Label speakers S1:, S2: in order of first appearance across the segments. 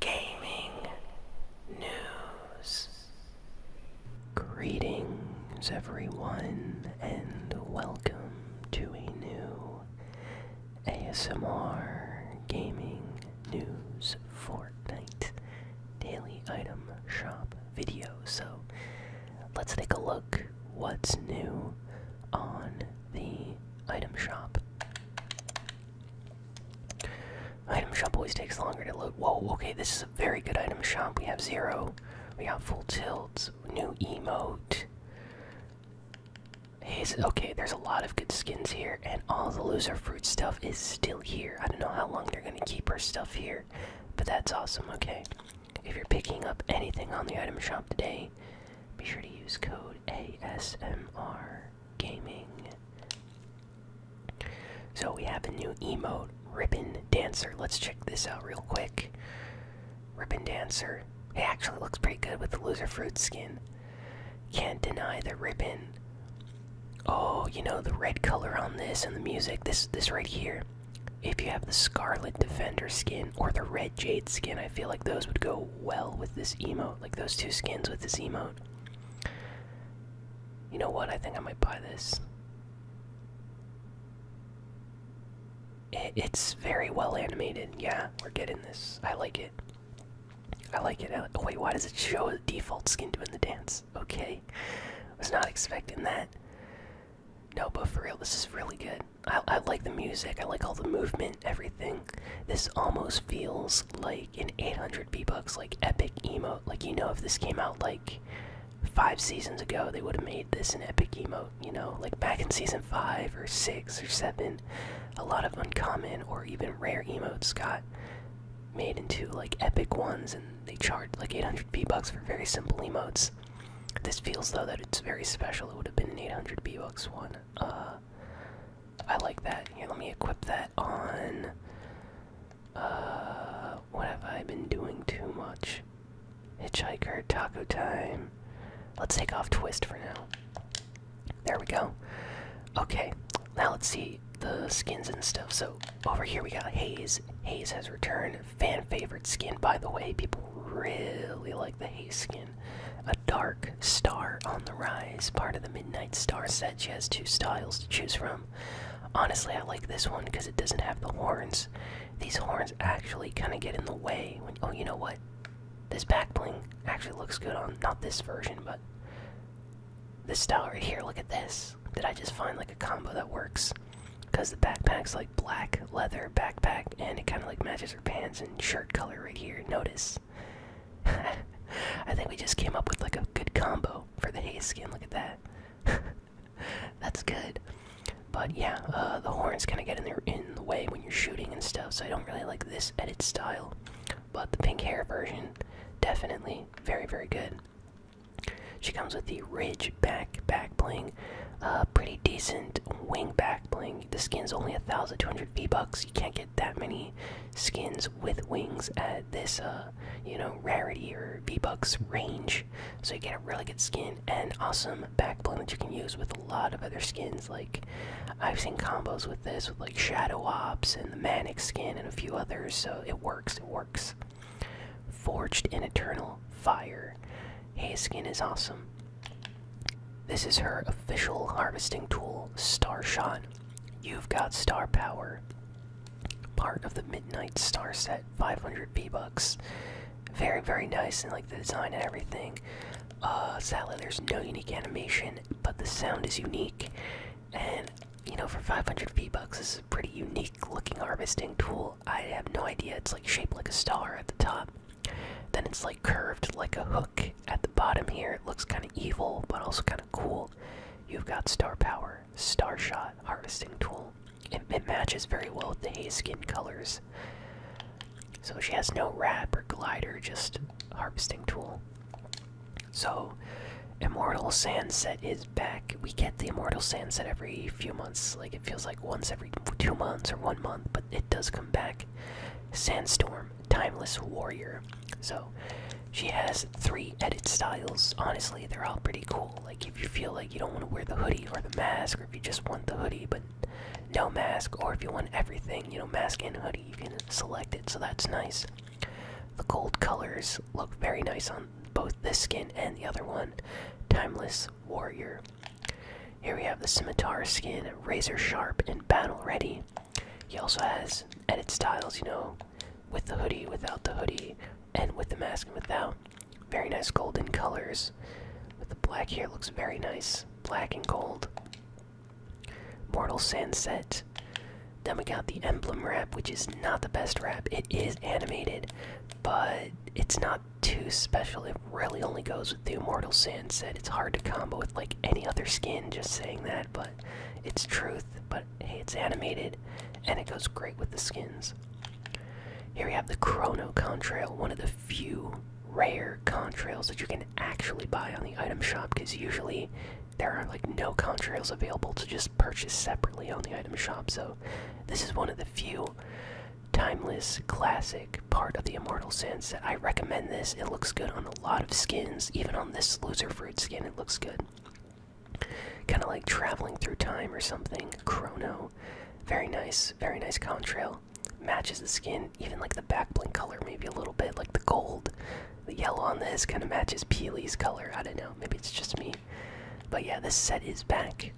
S1: gaming news. Greetings, everyone, and welcome to a new ASMR Gaming News Fortnite Daily Item Shop video. So, let's take a look what's new on the item shop. Item shop always takes longer to load. Whoa, okay, this is a very good item shop. We have zero. We have full tilts, new emote. okay, there's a lot of good skins here, and all the loser fruit stuff is still here. I don't know how long they're gonna keep our stuff here, but that's awesome, okay? If you're picking up anything on the item shop today, be sure to use code ASMR. Gaming. So we have a new emote, Ribbon Dancer. Let's check this out real quick. Ribbon Dancer. It actually looks pretty good with the loser fruit skin. Can't deny the ribbon. Oh, you know the red color on this and the music. This this right here. If you have the Scarlet Defender skin or the Red Jade skin, I feel like those would go well with this emote, like those two skins with this emote. You know what? I think I might buy this. it's very well animated. Yeah, we're getting this. I like it. I like it. I oh, like, wait, why does it show a default skin doing the dance? Okay, was not expecting that. No, but for real, this is really good. I like the music. I like all the movement everything. This almost feels like an 800 B bucks, like epic emote. Like you know, if this came out like five seasons ago, they would have made this an epic emote. You know, like back in season five or six or seven, a lot of uncommon or even rare emotes got made into like epic ones, and they charted like 800 B bucks for very simple emotes. This feels though that it's very special. It would have been an 800 B bucks one. Uh, I like that. Here, let me equip that on. Uh, what have I been doing too much? Hitchhiker, taco time. Let's take off twist for now. There we go. Okay, now let's see the skins and stuff. So over here we got Haze. Haze has returned. Fan favorite skin, by the way. People really like the Haze skin. A dark star on the rise, part of the Midnight Star Said She has two styles to choose from. Honestly, I like this one because it doesn't have the horns. These horns actually kind of get in the way. oh, you know what? This back actually looks good on not this version, but this style right here. Look at this. Did I just find like a combo that works? Because the backpack's like black leather backpack and it kind of like matches her pants and shirt color right here. Notice. I think we just came up with like a good combo for the haze skin. Look at that. That's good. But yeah, uh, the horns kind of get in the, in the way when you're shooting and stuff, so I don't really like this edit style. But the pink hair version, definitely very, very good. She comes with the ridge back back bling, uh, pretty decent wing back bling the skin's only a thousand two hundred V bucks. You can't get that many skins with wings at this, uh, you know, rarity or V bucks range. So you get a really good skin and awesome backbone that you can use with a lot of other skins. Like I've seen combos with this with like Shadow Ops and the Manic skin and a few others. So it works. It works. Forged in Eternal Fire. Hay skin is awesome. This is her official harvesting tool, Starshot. You've got star power. Part of the Midnight Star set, 500 PBucks. Very, very nice, in like the design and everything. Uh, sadly, there's no unique animation, but the sound is unique. And, you know, for 500 PBucks, bucks this is a pretty unique looking harvesting tool. I have no idea. It's like shaped like a star at the top. Then it's like curved like a hook at the bottom here. It looks kind of evil, but also kind of cool. You've got Star Power, Star Shot, Harvesting Tool. It, it matches very well with the haze skin colors. So she has no wrap or glider, just Harvesting Tool. So, Immortal Sand set is back. We get the Immortal Sand set every few months. Like, it feels like once every every two months or one month, but it does come back. Sandstorm, Timeless Warrior. So she has three edit styles. Honestly, they're all pretty cool. Like if you feel like you don't want to wear the hoodie or the mask, or if you just want the hoodie but no mask, or if you want everything, you know, mask and hoodie, you can select it. So that's nice. The gold colors look very nice on both this skin and the other one. Timeless Warrior. Here we have the scimitar skin, razor sharp and battle ready. He also has edit styles, you know, with the hoodie, without the hoodie, and with the mask and without. Very nice golden colors. With the black here looks very nice. Black and gold. Mortal Sunset. Then we got the emblem wrap, which is not the best wrap. It is animated, but it's not too special. It really only goes with the Immortal Sand set. It's hard to combo with like any other skin, just saying that, but it's truth. But hey, it's animated and it goes great with the skins. Here we have the Chrono Contrail, one of the few rare contrails that you can actually buy on the item shop because usually there are like no contrails available to just purchase separately on the item shop. So this is one of the few timeless classic part of the Immortal Sense. I recommend this. It looks good on a lot of skins. Even on this loser fruit skin, it looks good. Kind of like traveling through time or something. Chrono. Very nice. Very nice contrail. Matches the skin. Even like the back blink color, maybe a little bit. Like the gold. The yellow on this kind of matches Peely's color. I don't know. Maybe it's just me. But yeah, this set is back.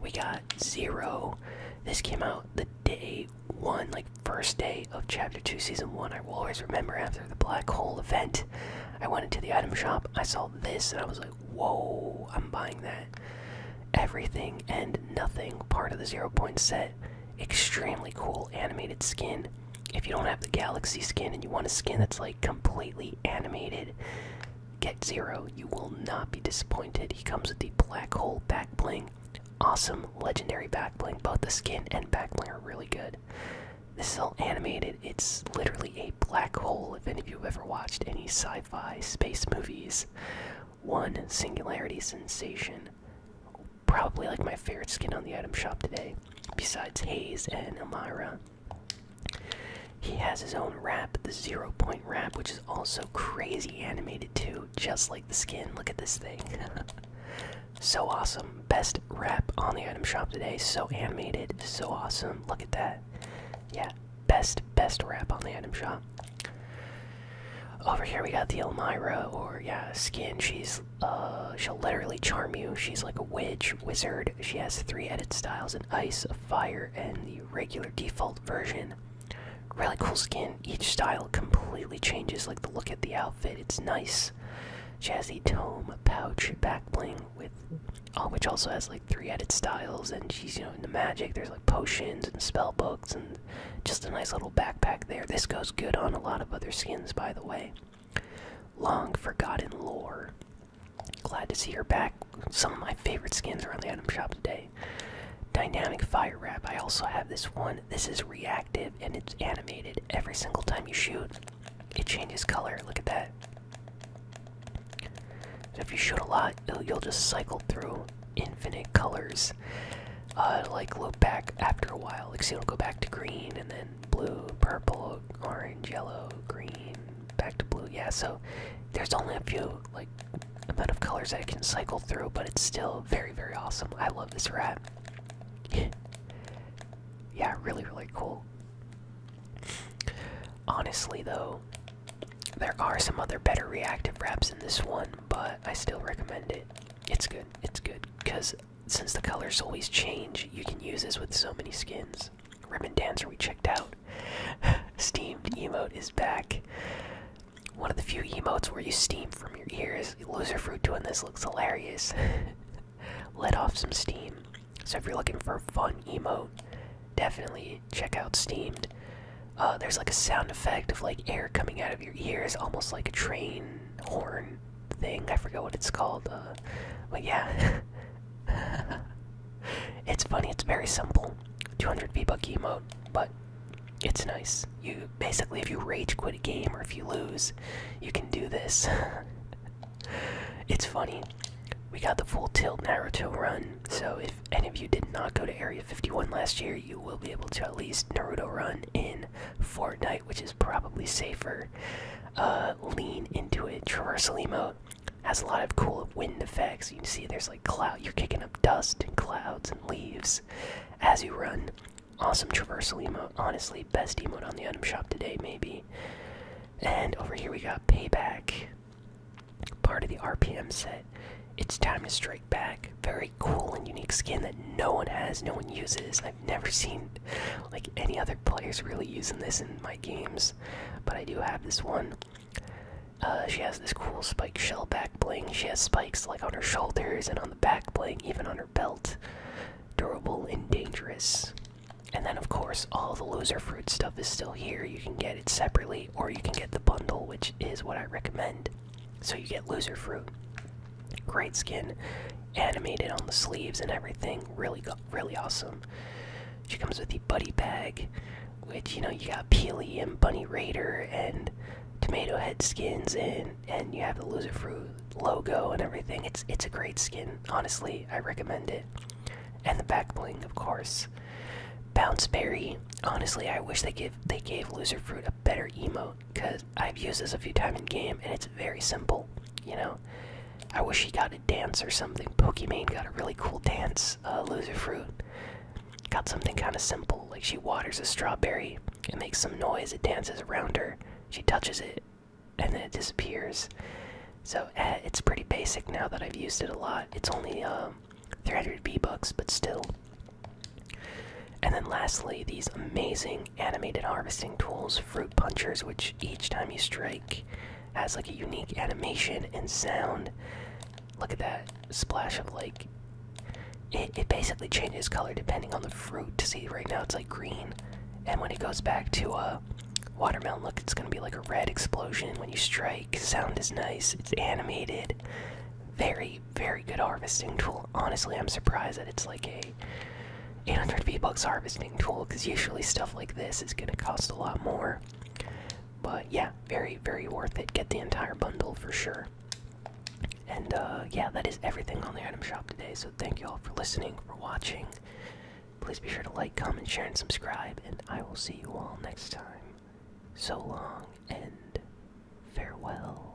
S1: We got Zero. This came out the day one, like first day of Chapter 2, Season 1. I will always remember after the Black Hole event. I went into the item shop, I saw this, and I was like, whoa, I'm buying that. Everything and nothing part of the Zero Point set. Extremely cool animated skin. If you don't have the galaxy skin and you want a skin that's like completely animated, Get Zero, you will not be disappointed. He comes with the Black Hole Back Bling. Awesome legendary back bling. Both the skin and back bling are really good. This is all animated. It's literally a black hole if any of you have ever watched any sci fi space movies. One singularity sensation. Probably like my favorite skin on the item shop today, besides Haze and Elmira. He has his own wrap, the zero point wrap, which is also crazy animated too, just like the skin. Look at this thing. so awesome. Best wrap on the item shop today. So animated. So awesome. Look at that. Yeah, best, best wrap on the item shop. Over here we got the Elmira, or yeah, skin. She's uh, she'll literally charm you. She's like a witch, wizard. She has three edit styles: an ice, a fire, and the regular default version. Really cool skin. Each style completely changes like the look of the outfit. It's nice. She has a tome pouch back bling with uh, which also has like three edit styles and she's you know in the magic. There's like potions and spell books and just a nice little backpack there. This goes good on a lot of other skins by the way. Long forgotten lore. Glad to see her back. Some of my favorite skins are on the item shop today. Dynamic fire wrap. I also have this one. This is reactive and it's animated. Every single time you shoot, it changes color. Look at that. So if you shoot a lot, you'll just cycle through infinite colors. Uh, like look back after a while. Like see, it'll go back to green and then blue, purple, orange, yellow, green, back to blue yeah so there's only a few like amount of colors that i can cycle through but it's still very very awesome i love this wrap. yeah really really cool honestly though there are some other better reactive wraps in this one but i still recommend it it's good it's good because since the colors always change you can use this with so many skins Ribbon Dancer we checked out. Steamed emote is back. One of the few emotes where you steam from your ears. Loser Fruit doing this looks hilarious. Let off some steam. So if you're looking for a fun emote, definitely check out Steamed. Uh, there's like a sound effect of like air coming out of your ears, almost like a train horn thing. I forget what it's called. Uh, but yeah, it's funny. It's very simple. 200 V Buck emote, but it's nice. You basically, if you rage quit a game or if you lose, you can do this. it's funny. We got the full tilt Naruto run, so if any of you did not go to Area 51 last year, you will be able to at least Naruto run in Fortnite, which is probably safer. Uh, lean into it. Traversal has a lot of cool wind effects. You can see there's like cloud. You're kicking up dust and clouds and leaves as you run. Awesome traversal Honestly, best emote on the item shop today, maybe. And over here we got payback. Part of the RPM set. It's time to strike back. Very cool and unique skin that no one has, no one uses never seen like any other players really using this in my games, but I do have this one. Uh, she has this cool spike shell back bling. She has spikes like on her shoulders and on the back bling, even on her belt. Durable and dangerous. And then, of course, all the loser fruit stuff is still here. You can get it separately, or you can get the bundle, which is what I recommend. So you get loser fruit. Great skin, animated on the sleeves and everything. Really, really awesome. She comes with the buddy bag, which you know you got Peely and Bunny Raider and Tomato Head skins, and and you have the loser fruit logo and everything. It's it's a great skin. Honestly, I recommend it. And the back bling, of course. Bounce Berry. Honestly, I wish they give they gave loser fruit a better emote because I've used this a few times in game, and it's very simple. You know, I wish she got a dance or something. Pokemon got a really cool dance. Uh, Fruit got something kind of simple, like she waters a strawberry. It makes some noise. It dances around her. She touches it, and then it disappears. So eh, it's pretty basic now that I've used it a lot. It's only um, 300 B bucks, but still. And then lastly, these amazing animated harvesting tools, fruit punchers, which each time you strike has like a unique animation and sound. Look at that splash of like. It, it basically changes color depending on the fruit. To See, right now it's like green. And when it goes back to a watermelon, look, it's gonna be like a red explosion when you strike. Sound is nice, it's animated. Very, very good harvesting tool. Honestly, I'm surprised that it's like a 800 V-Bucks harvesting tool, because usually stuff like this is going to cost a lot more. But yeah, very, very worth it. Get the entire bundle for sure. And uh, yeah, that is everything on the item shop today. So thank you all for listening, for watching. Please be sure to like, comment, share, and subscribe. And I will see you all next time. So long and farewell.